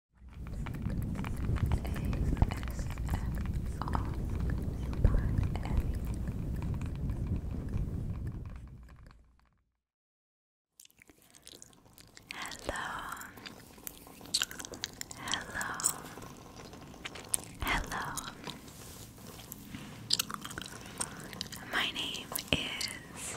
Hello, hello, hello. My name is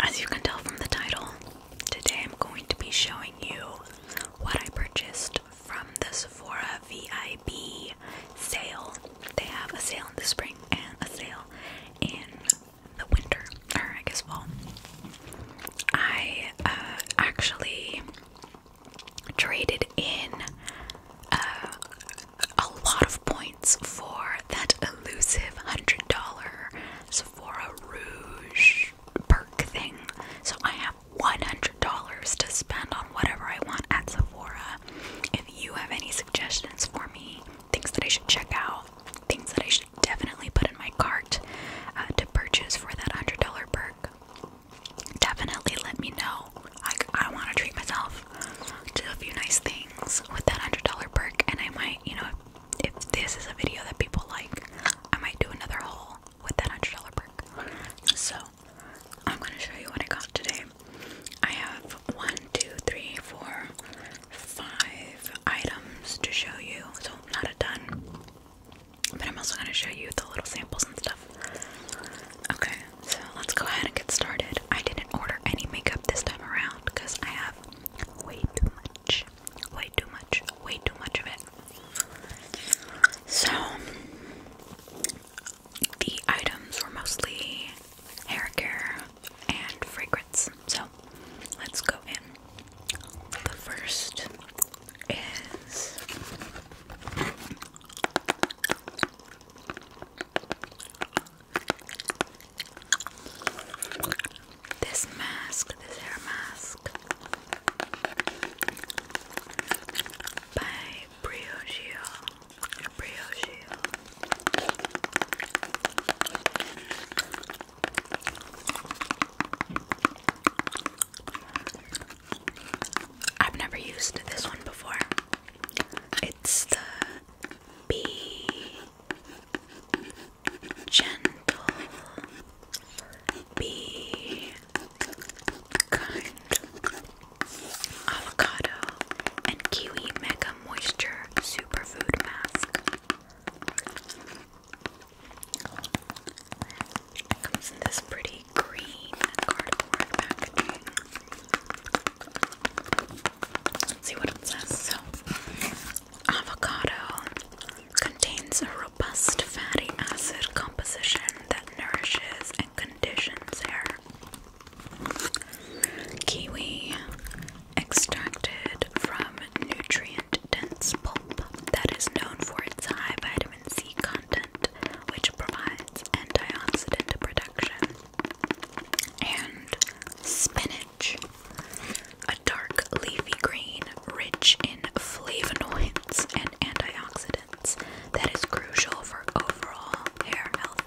As you can tell from the title, today I'm going to be showing you what I purchased from the Sephora VIB sale. They have a sale in the spring and a sale in the winter, or I guess fall. I uh, actually traded in uh, a lot of points points for that elusive $100 Sephora Rouge perk thing. So I have $100 to spend on whatever I want at Sephora. If you have any suggestions for me, things that I should check out, things that I should definitely put in my cart uh, to purchase for that $100 perk, definitely let me know. I, I want to treat myself do a few nice things with that $100 perk. And I might, you know, if this is a video that people like, I might do another haul with that $100 perk. So I'm going to show you what I got today. I have one, two, three, four, five items to show you. So not a ton. But I'm also going to show you the little samples and stuff. Okay, so let's go ahead and get started. I didn't order any makeup this time around because I have way too much, way too much, way too much of it. So, the items were mostly hair care and fragrance. So, let's go in. The first is. This mask, this hair mask by Briogeo. Briogeo. I've never used this one before. It's the bee gentle, be kind. Avocado and kiwi mega moisture superfood mask. comes in this pretty green cardboard packaging see what it says. So, avocado contains a robust fatty acid composition that nourishes and conditions hair. Kiwi extracted from nutrient dense pulp that is known for its high vitamin C content, which provides antioxidant protection and spinach, a dark leafy green rich in flavonoids and antioxidants that is crucial for overall hair health.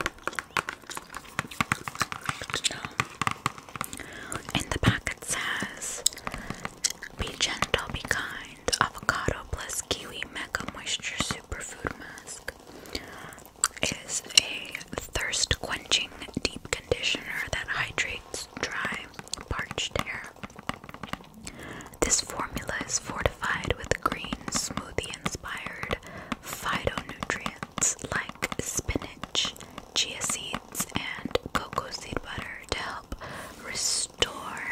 Good the back it says, be gentle, be kind, avocado plus kiwi mega moisture superfood mask is a thirst quenching deep conditioner that hydrates dry, parched hair. This formula is fortified with green smoothie inspired phytonutrients like spinach, chia seeds, and cocoa seed butter to help restore,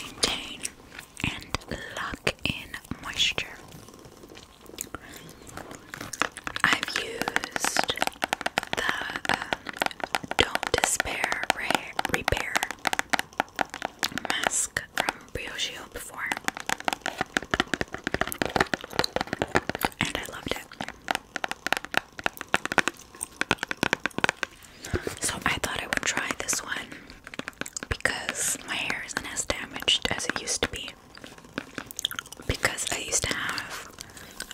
maintain, and lock in moisture. I've used the um, Don't Despair Repair mask from Briocheo before, and I loved it. So I thought I would try this one because my hair isn't as damaged as it used to be because I used to have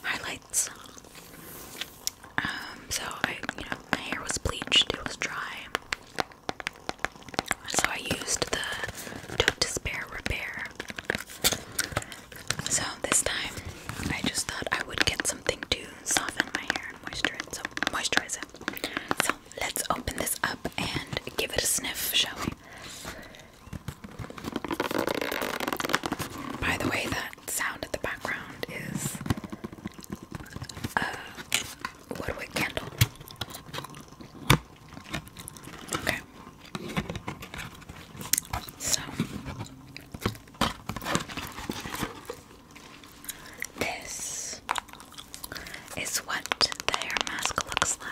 highlights. Um, so I, my hair was bleached, it was dry. So I used the Don't Despair Repair. So this time I just thought I would get something to soften my hair and moisturize, so moisturize it. So Let's open this up and give it a sniff, shall we? By the way, that sound at the background is a woodwick candle. Okay. So this is what the hair mask looks like.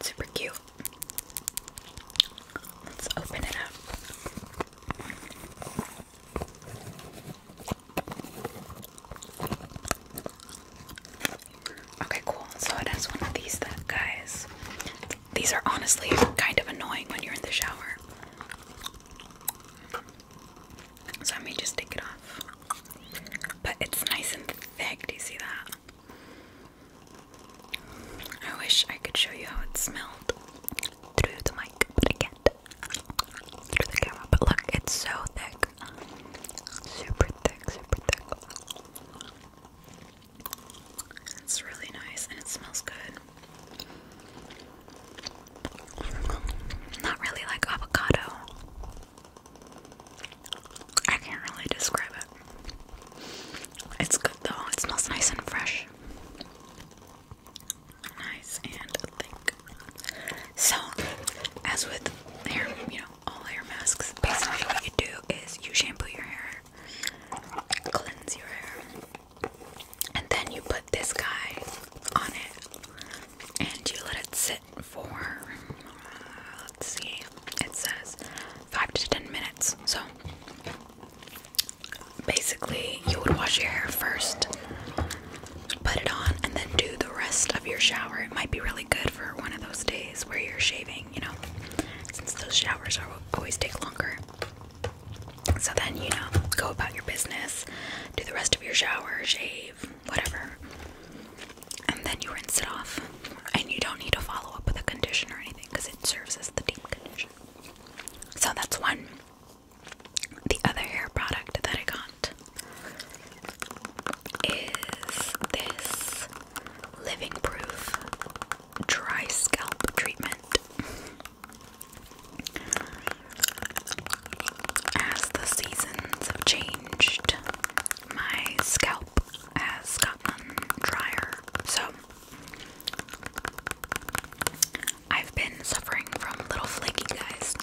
Super cute. Let's open it up. Okay, cool. So it one of these guys. These are honestly kind of annoying when you're in the shower. So I may just take it off. But it's nice and thick. Do you see that? I wish I could show you how it smelled through the mic, but I look, it's so thick. Super thick, super thick. It's really nice and it smells good. Not really like avocado. I can't really describe it. It's good though, it smells nice and fresh nice and thick. So, as with hair, you know, all hair masks, basically what you do is you shampoo your hair, cleanse your hair, and then you put this guy on it, and you let it sit for, uh, let's see, it says five to ten minutes. So. Basically, you would wash your hair first put it on and then do the rest of your shower. It might be really good for one of those days where you're shaving, you know, since those showers are always take longer. So then, you know, go about your business, do the rest of your shower, shave, whatever. And then you rinse it off. And you don't need to follow up with a conditioner or anything because it serves as the deep condition. So that's one the other hair product that I got is this Living Proof Dry Scalp Treatment. As the seasons have changed, my scalp has gotten drier, so I've been suffering from little flaky guys.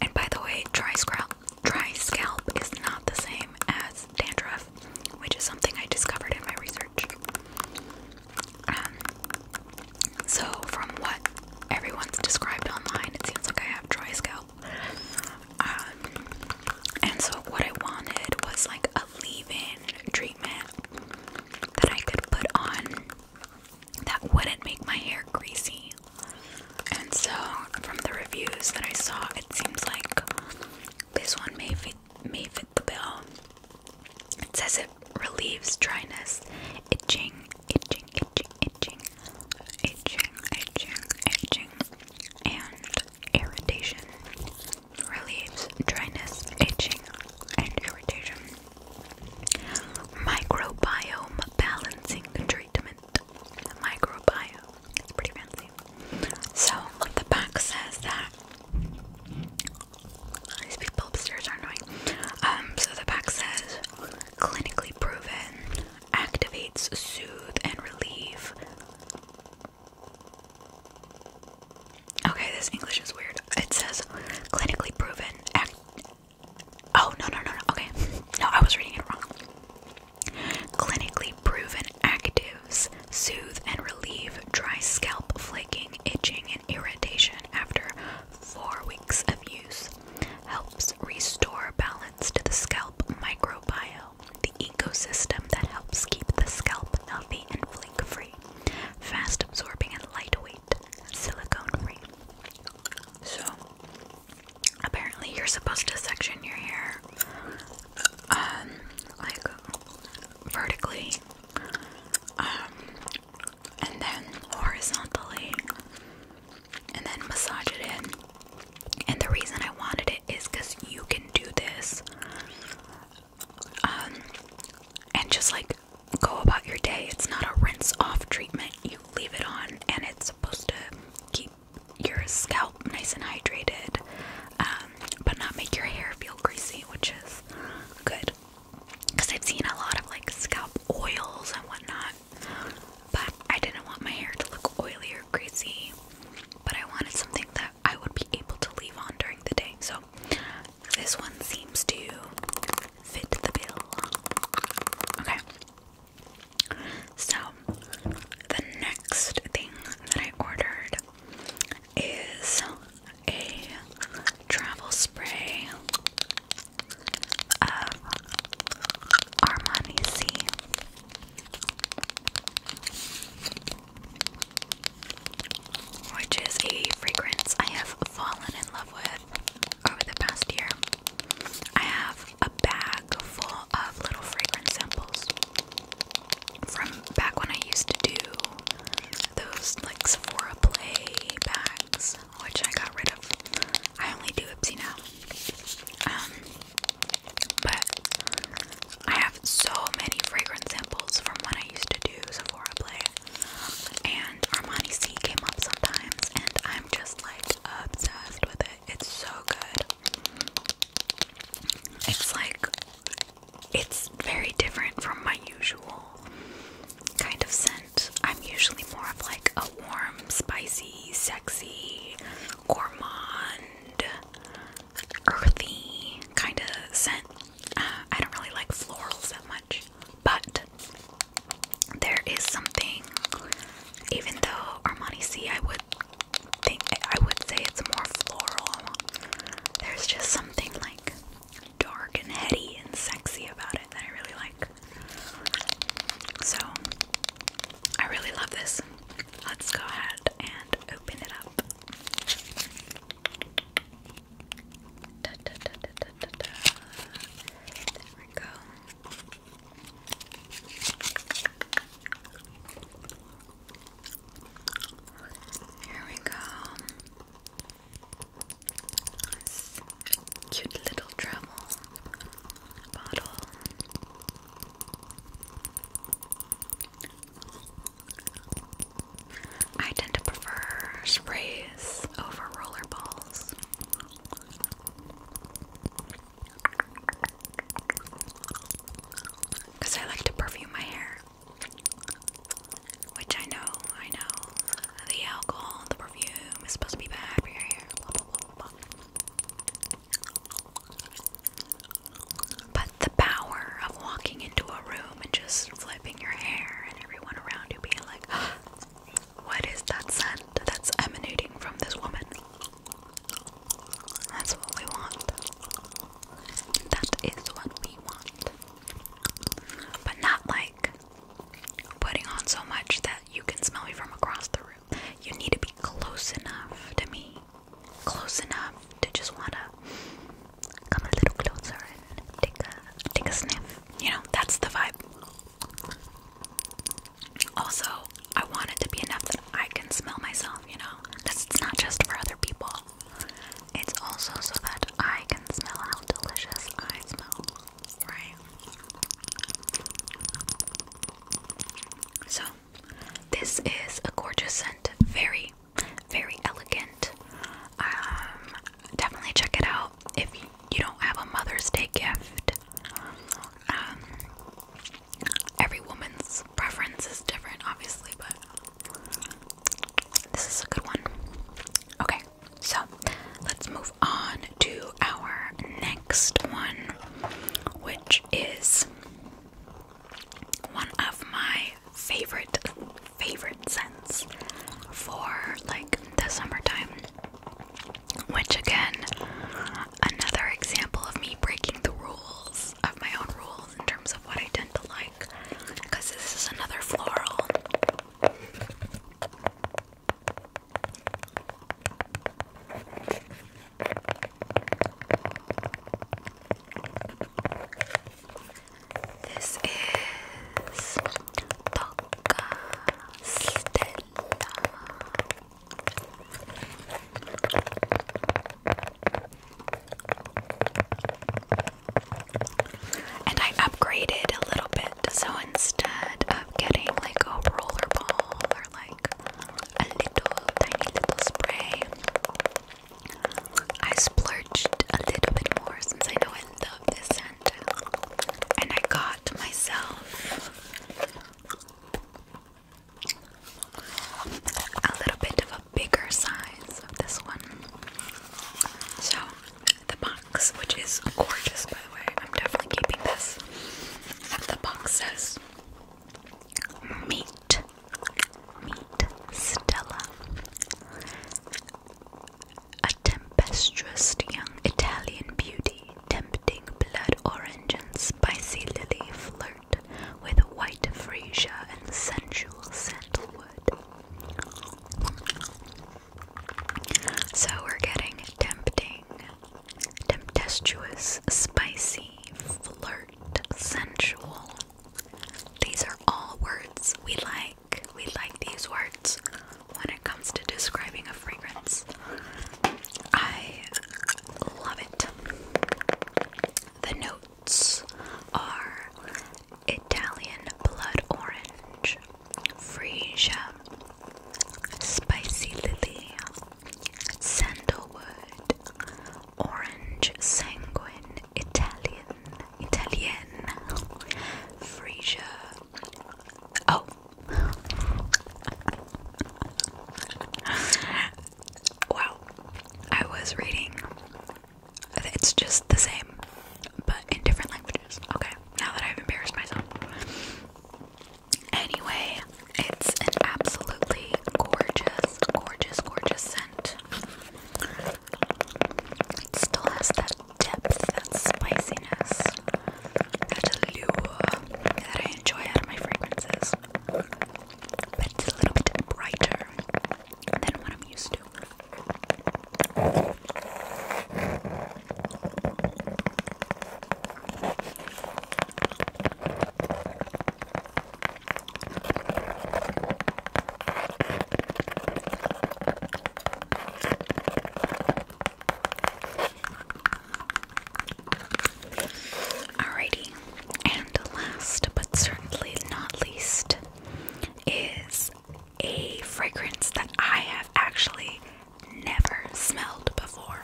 And by the way, dry scalp, dry scalp is not the same as dandruff, which is something I discovered in my research. Um, so from what everyone's described online, it seems like I have dry scalp. Um, and so what I wanted was like a leave-in treatment that I could put on that wouldn't make my hair greasy. And so, from the reviews that I saw, it seems like this one may fit, may fit the bill. It says it relieves dryness, itching, itching, itching, itching, itching, itching, itching, and irritation. Relieves dryness, itching, and irritation. Microbiome balancing treatment. Microbiome. It's pretty fancy. So the back says that these people upstairs are annoying. Um, so the back says clinically proven, activates, soothe, and relieve. Okay, this English is weird. It says clinically proven, act Oh, no, no, no, Okay. No, I was reading it wrong. Clinically proven actives soothe and relieve dry scalp flaking, itching, and irritation after four weeks of use. Helps restore balance to the scalp microbiome, the ecosystem that helps keep the scalp healthy and flake free. Fast absorbing and lightweight silicone free. So, apparently, you're supposed to section your hair, um, like vertically, um, and then horizontally, and then massage it in. And the reason I wanted it is because you can do this, um, and just like go about your day. It's not a rinse off treatment. You leave it on and it's supposed to keep your scalp nice and hydrated, um, but not make your hair feel greasy, which is good. Because I've seen a lot of like scalp oils and whatnot, but I didn't want my hair to look oily or greasy. But I wanted something that I would be able to leave on during the day. So this one seems to fit the bill. Okay. So, the next thing that I ordered is a travel spray of Armani C. Which is a fragrance I have fallen in love with over the past year. I have a bag full of little fragrance samples from back when I used to do those like Sephora Play bags, which I got rid of. I only do Ipsy now. Um, but I have so many fragrance samples from when I used to do Sephora Play and Armani C came up sometimes, and I'm just like obsessed with it. It's so good. It's like it's very different from my usual kind of scent. I'm usually more of like a warm, spicy, sexy, gourmand, earthy kind of scent. Uh, I don't really like florals that much, but there is something, even though Armani C, I would think, I would say it's more floral. There's just something like dark and heady and sexy about it that I really like. So, I really love this. Let's go ahead and open it up. There we go. Here we go. cute little travel bottle. I tend to prefer sprays over rollerballs. Because I like to perfume my hair. Which I know, I know. The alcohol, the perfume is supposed to be bad for your hair. But the power of walking into a room and just flipping your hair and everyone around you being like, What is that scent that's emanating from this woman? That's what we want. That is what we want. But not like putting on so much that you can smell me from across the room. You need to be close enough to me. Close enough to just wanna come a little closer and take a take a sniff. You know, that's the vibe. Also, I want it to be enough that I can smell myself, you know? Because it's not just for other people. It's also so that I can smell how delicious I smell, right? So, this is a gorgeous scent. Very, very elegant. Um, definitely check it out if you don't have a Mother's Day gift. Um, every woman's preference is different, obviously, but this is a good one. Okay, so let's move on to our next one, which is one of my favorite favorite scents for like the summertime. Which again, another example of me breaking the rules of my own rules in terms of what I tend to like. Because this is another floral. This is and I upgraded a little bit, so instead of getting like a rollerball or like a little tiny little spray, I splurged a little bit more since I know I love this scent and I got myself a little bit of a bigger size of this one. So, the box, which is gorgeous by the way, I'm definitely keeping this. The box says Meet, meet Stella, tempestuous young Italian beauty, tempting blood orange and spicy lily flirt with white freesia and sensual sandalwood. So we're getting tempting, tempestuous, spicy, flirt, sensual. These are all words we like we like these words when it comes to describing a fragrance. I love it. The notes are Italian blood orange, freesia, spicy lily, sandalwood, orange sanguine, Italian, Italian, freesia, Oh. wow. I was reading. It's just the same, but in different languages. Okay, now that I've embarrassed myself. Anyway, it's an absolutely gorgeous, gorgeous, gorgeous scent. It still has that depth, that spiciness, that allure that I enjoy out of my fragrances. But it's a little bit brighter than what I'm used to. Alrighty, and last but certainly not least is a fragrance that I have actually never smelled before.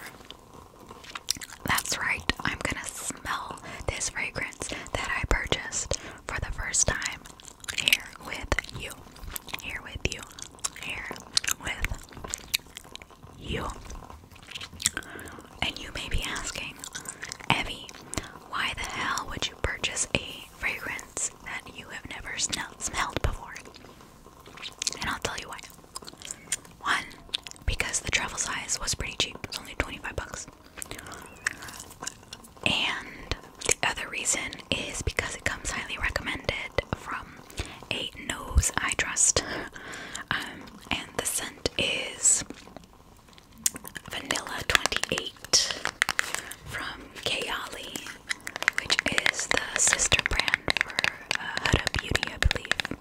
That's right, I'm gonna smell this fragrance that I purchased for the first time here with you, here with you, here with you. And you may be asking, Evie, why the hell would you purchase a fragrance that you have never smelled before? And I'll tell you why. One, because the travel size was pretty cheap, it was only 25 bucks. And the other reason is because it comes highly recommended from a nose I trust. Um, and the scent is Vanilla 28 from Kayali, which is the sister brand for uh, Huda Beauty, I believe.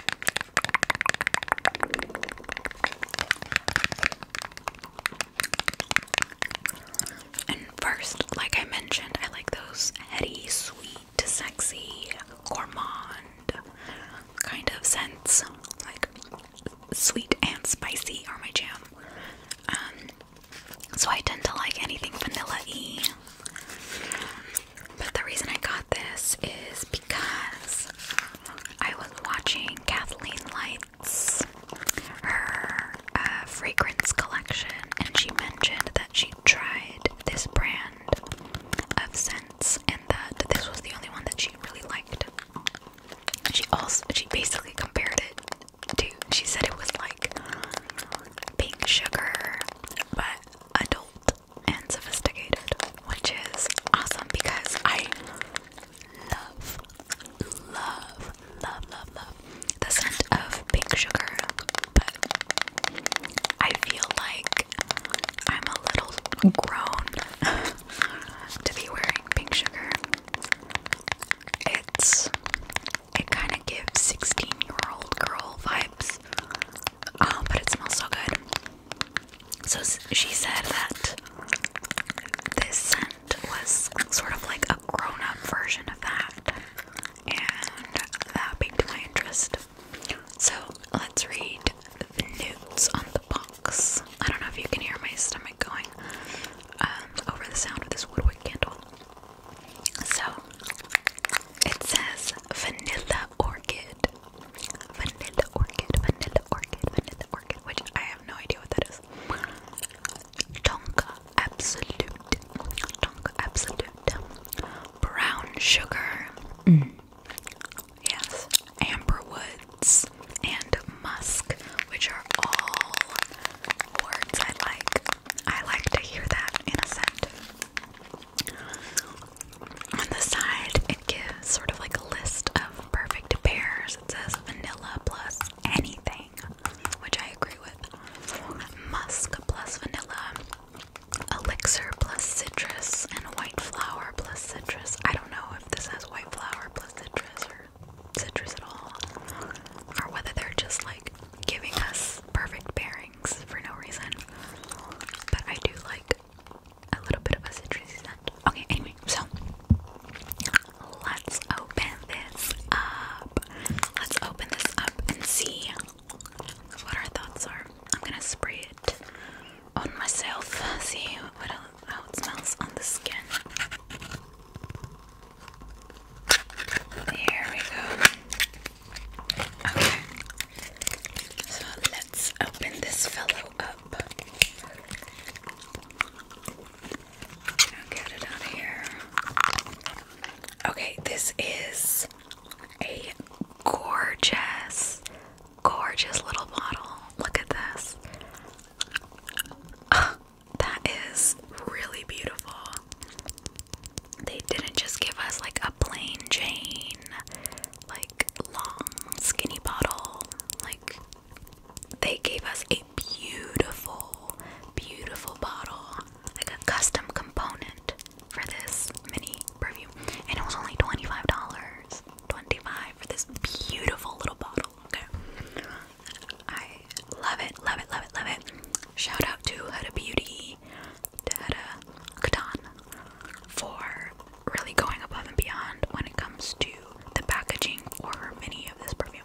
And first, like I mentioned, I like those heady, sweet, sexy, gourmand kind of scents. Like sweet and spicy are my jam. Um, so I tend to like anything vanilla-y. But the reason I got this is because I was watching Kathleen Light her uh, fragrance collection, and she mentioned that she tried this brand of scents and that this was the only one that she really liked. She also she basically compared it to she said it was like pink sugar, but adult and sophisticated, which is awesome because I love love, love, love, love the scent of pink sugar, but I feel like I'm a little grown to be wearing pink sugar. It's it kind of gives 16 year old girl vibes, um, but it smells so good. So she said that this scent was sort of like a grown up version of that, and that piqued my interest. So let's read the notes on the box. I don't know if you can hear my stomach going um, over the sound of this woodwick candle. So it says vanilla orchid. Vanilla orchid, vanilla orchid, vanilla orchid, which I have no idea what that is. Tonka, absolute, Tonka absolute, brown sugar, mm. yes, amber woods, and musk, which are all words I like. I like to hear that in a scent. On the side, it gives sort of like a list of perfect pairs. It says vanilla plus anything which I agree with. Musk plus vanilla, elixir plus citrus, and white flower plus citrus. I don't know if this has white flower plus citrus or citrus at all, or whether they're just like giving us perfect pairings for no reason. But I do like a little bit of a citrusy scent. Okay, anyway, so let's open this up. Let's open this up and see what our thoughts are. I'm gonna spray it on myself, see how it smells on the skin. There we go. Okay, so let's open this fellow up. Okay, this is a gorgeous, gorgeous little bottle. Look at this. Ah, that is really beautiful. They didn't just give us like a plain Jane, like long, skinny bottle. Like, they gave us a beautiful, beautiful bottle, like a custom component for this mini perfume, and it was only $25. 25 for this beautiful little bottle. I love it, love it, love it, love it. Shout out to Huda Beauty, to Huda for really going above and beyond when it comes to the packaging for many of this perfume.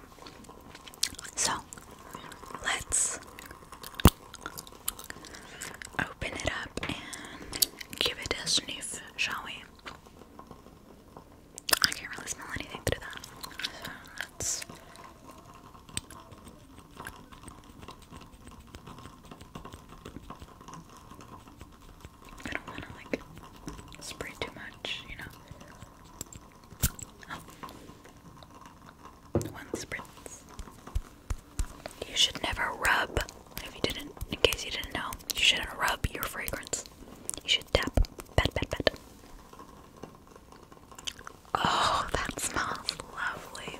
So let's open it up and give it a sniff, shall we? I can't really smell anything through that. I don't want to like spray too much, you know. One spritz. You should never rub, if you didn't, in case you didn't know, you shouldn't rub your fragrance. You should tap. Pat, pat, Oh, that smells lovely.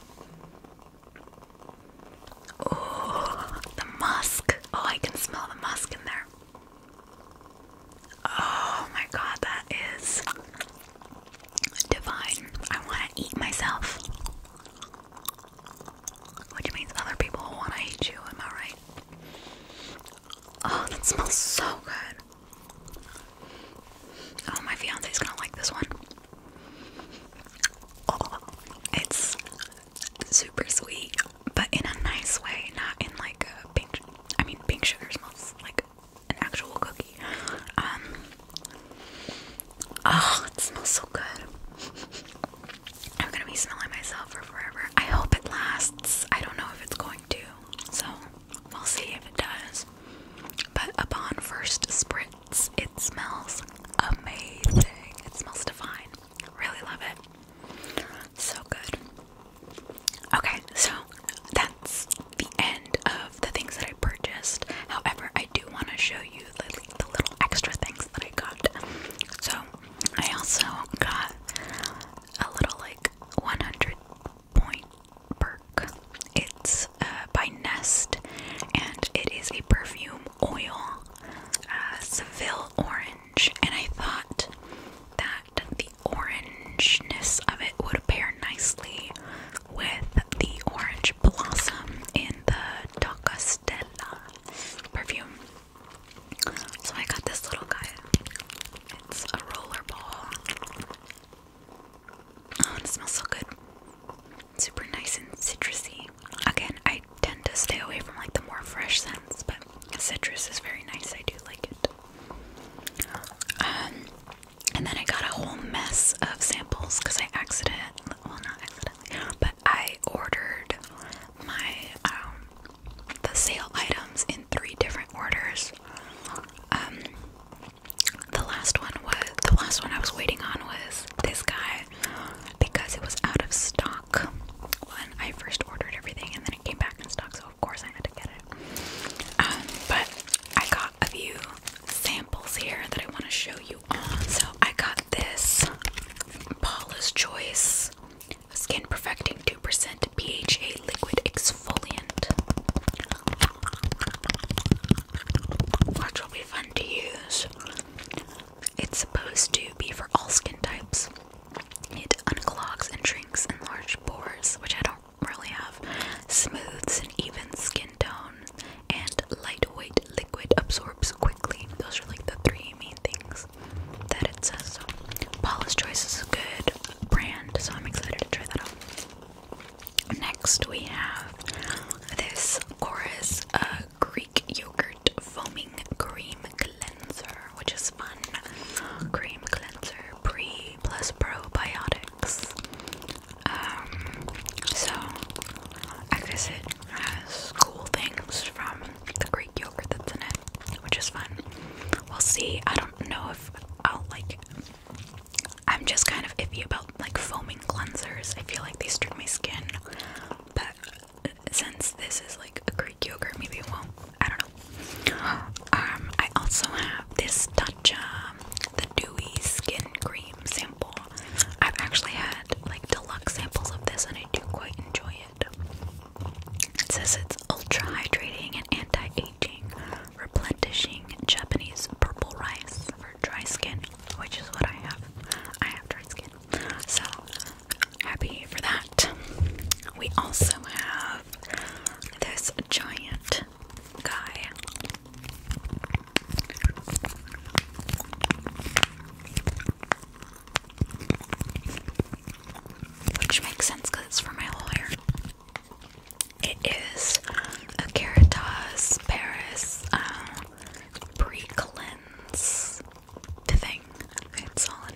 Oh, the musk. Oh, I can smell the musk in there. Oh my god, that is divine. I want to eat myself. Which means other people want to eat you, am I right? Oh, that smells so good. Oh, my fiance's gonna like this one. Oh, it's super sweet but in a nice way, not in like a pink. I mean, pink sugar smells like an actual cookie. Um, oh, it smells so good. I'm gonna be smelling myself for forever. I hope it lasts. I don't know if it's going to, so we'll see if it does. But upon first spritz, it smells amazing. It smells divine. Really love it. So good. Okay, so that's the end of the things that I purchased. However, I do want to show you the, little extra things that I got. So, I also got a little like 100 point perk. It's uh, by Nest and it is a perfume oil, uh, Seville Orange. And I thought that that the orangeness of it would pair nicely with the orange blossom in the Docastella perfume. So I got this little guy. It's a roller Oh, it smells so good. Super nice and citrusy. Again, I tend to stay away from like the more fresh scents, but citrus is very nice. I do like it. Um, and then I got a whole mess of samples because I accident well not accidentally, but I ordered my um, the sale items in three different orders. Um, the last one was the last one I was waiting on was this guy because it was out of stock when I first ordered everything and then it came back in stock so of course I had to get it. Um, but I got a few samples here that I want to show you on. So I got this Paula's Choice Skin Perfecting 2% PHA Liquid Exfoliant. Which will be fun to use. It's supposed to be for all skin types. It unclogs and shrinks in pores, which I don't really have, smooths an even skin tone, and lightweight liquid absorbs quickly. Those are like the three main things that it says. So, Paula's Choice is a good brand, so I'm excited to try that out. Next, we have this Chorus uh, Greek Yogurt Foaming Cream cleanser, which is fun. Cream cleanser, pre plus probiotics. Um, so Exit has cool things from the Greek yogurt that's in it, which is fun. We'll see. I don't know if I'll like. I'm just kind of iffy about like foaming cleansers. I feel like they strip my skin, but since this is like a Greek yogurt, maybe it won't. I don't know. Um, I also have this Tatcha, um, the Dewy Skin Cream sample. I've actually had like deluxe samples of this and I do quite enjoy it. It says it's ultra hydrating and anti-aging, replenishing Japanese purple rice for dry skin, which is what I have. I have dry skin. So happy for that. We also have this giant guy. Which makes sense because it's for my lawyer. It is a Caritas Paris pre um, cleanse thing. It's all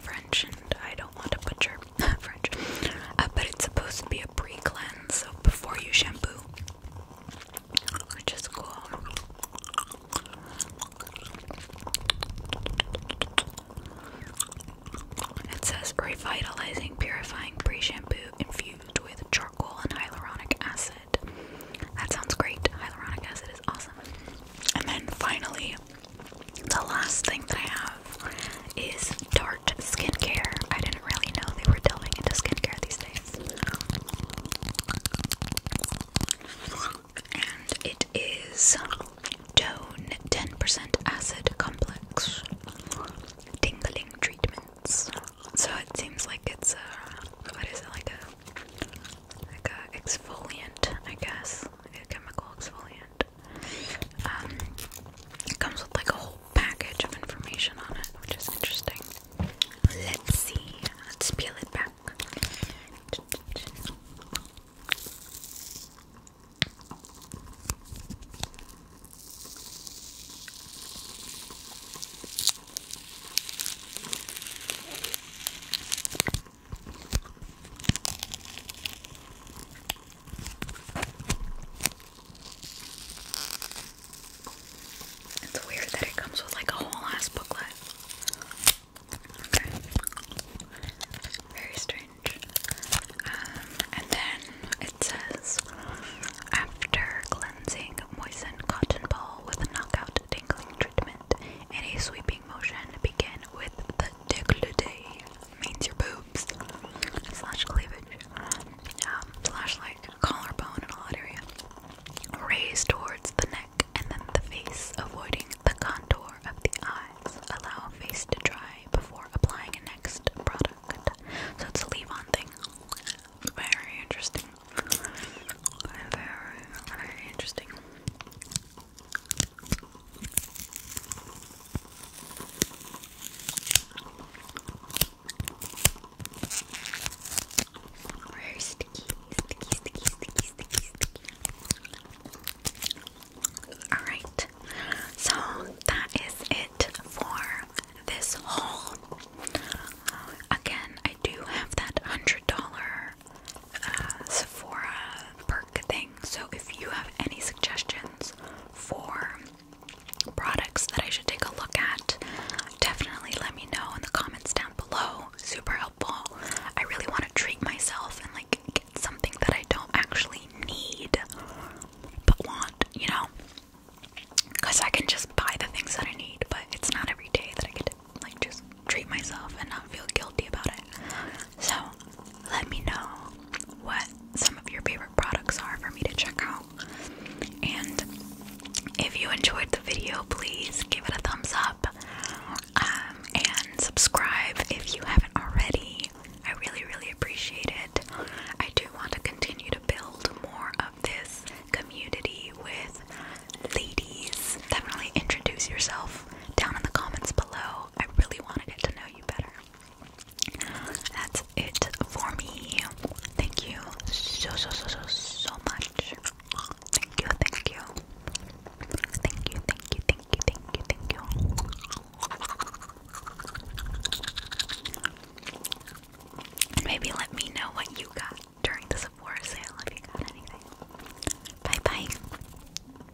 French and I don't want to butcher French. Uh, but it's supposed to be a pre cleanse, so before you shampoo, which is cool. It says revitalizing, purifying pre shampoo infused with charcoal and hyaluronic acid. That sounds great. Hyaluronic acid is awesome. And then finally, the last thing that I have is Tarte skincare. I didn't really know they were delving into skincare these days. And it is Tone 10% Acid Complex Tingling Treatments. So it seems like it's a, what is it, like a, like a exfoliant, I guess, a chemical exfoliant. Um, it comes with like a whole package of information on it, which is interesting. Let's see. Let's peel it back. It's weird that it comes with like a whole ass booklet. Very strange. Um, and then it says after cleansing, moisten cotton ball with a knockout tingling treatment in a sweeping motion. Begin with the décolleté means your boobs slash cleavage um, slash like collarbone and all that area raised towards the neck and then the face avoiding the contour of the eyes allow face to dry before applying a next product so it's a leave-on thing very interesting very, very interesting we sticky, sticky, sticky, sticky, sticky, sticky. Alright, so that is it for this haul. Again, I do have that $100 uh, Sephora perk thing. So if you have any suggestions for products that I should take a look at, definitely let me know in the comments down below. Super helpful. I really want to treat myself and like get something that I don't actually need but want, you know? Because I can just buy the things that I need, but it's not every day that I get to like just treat myself and not feel guilty about it. So, let me know what some of your favorite products are for me to check out. And if you enjoyed the video, please give it a thumbs up um, and subscribe if you haven't already. I really, really appreciate it. I do want to continue to build more of this community with ladies. Definitely introduce yourself down in the comments below. I really want to get to know you better. That's it for me. Thank you so, so, so, so, so much. Thank you, thank you. Thank you, thank you, thank you, thank you, Maybe let me know what you got during the Sephora sale if you got anything. Bye bye.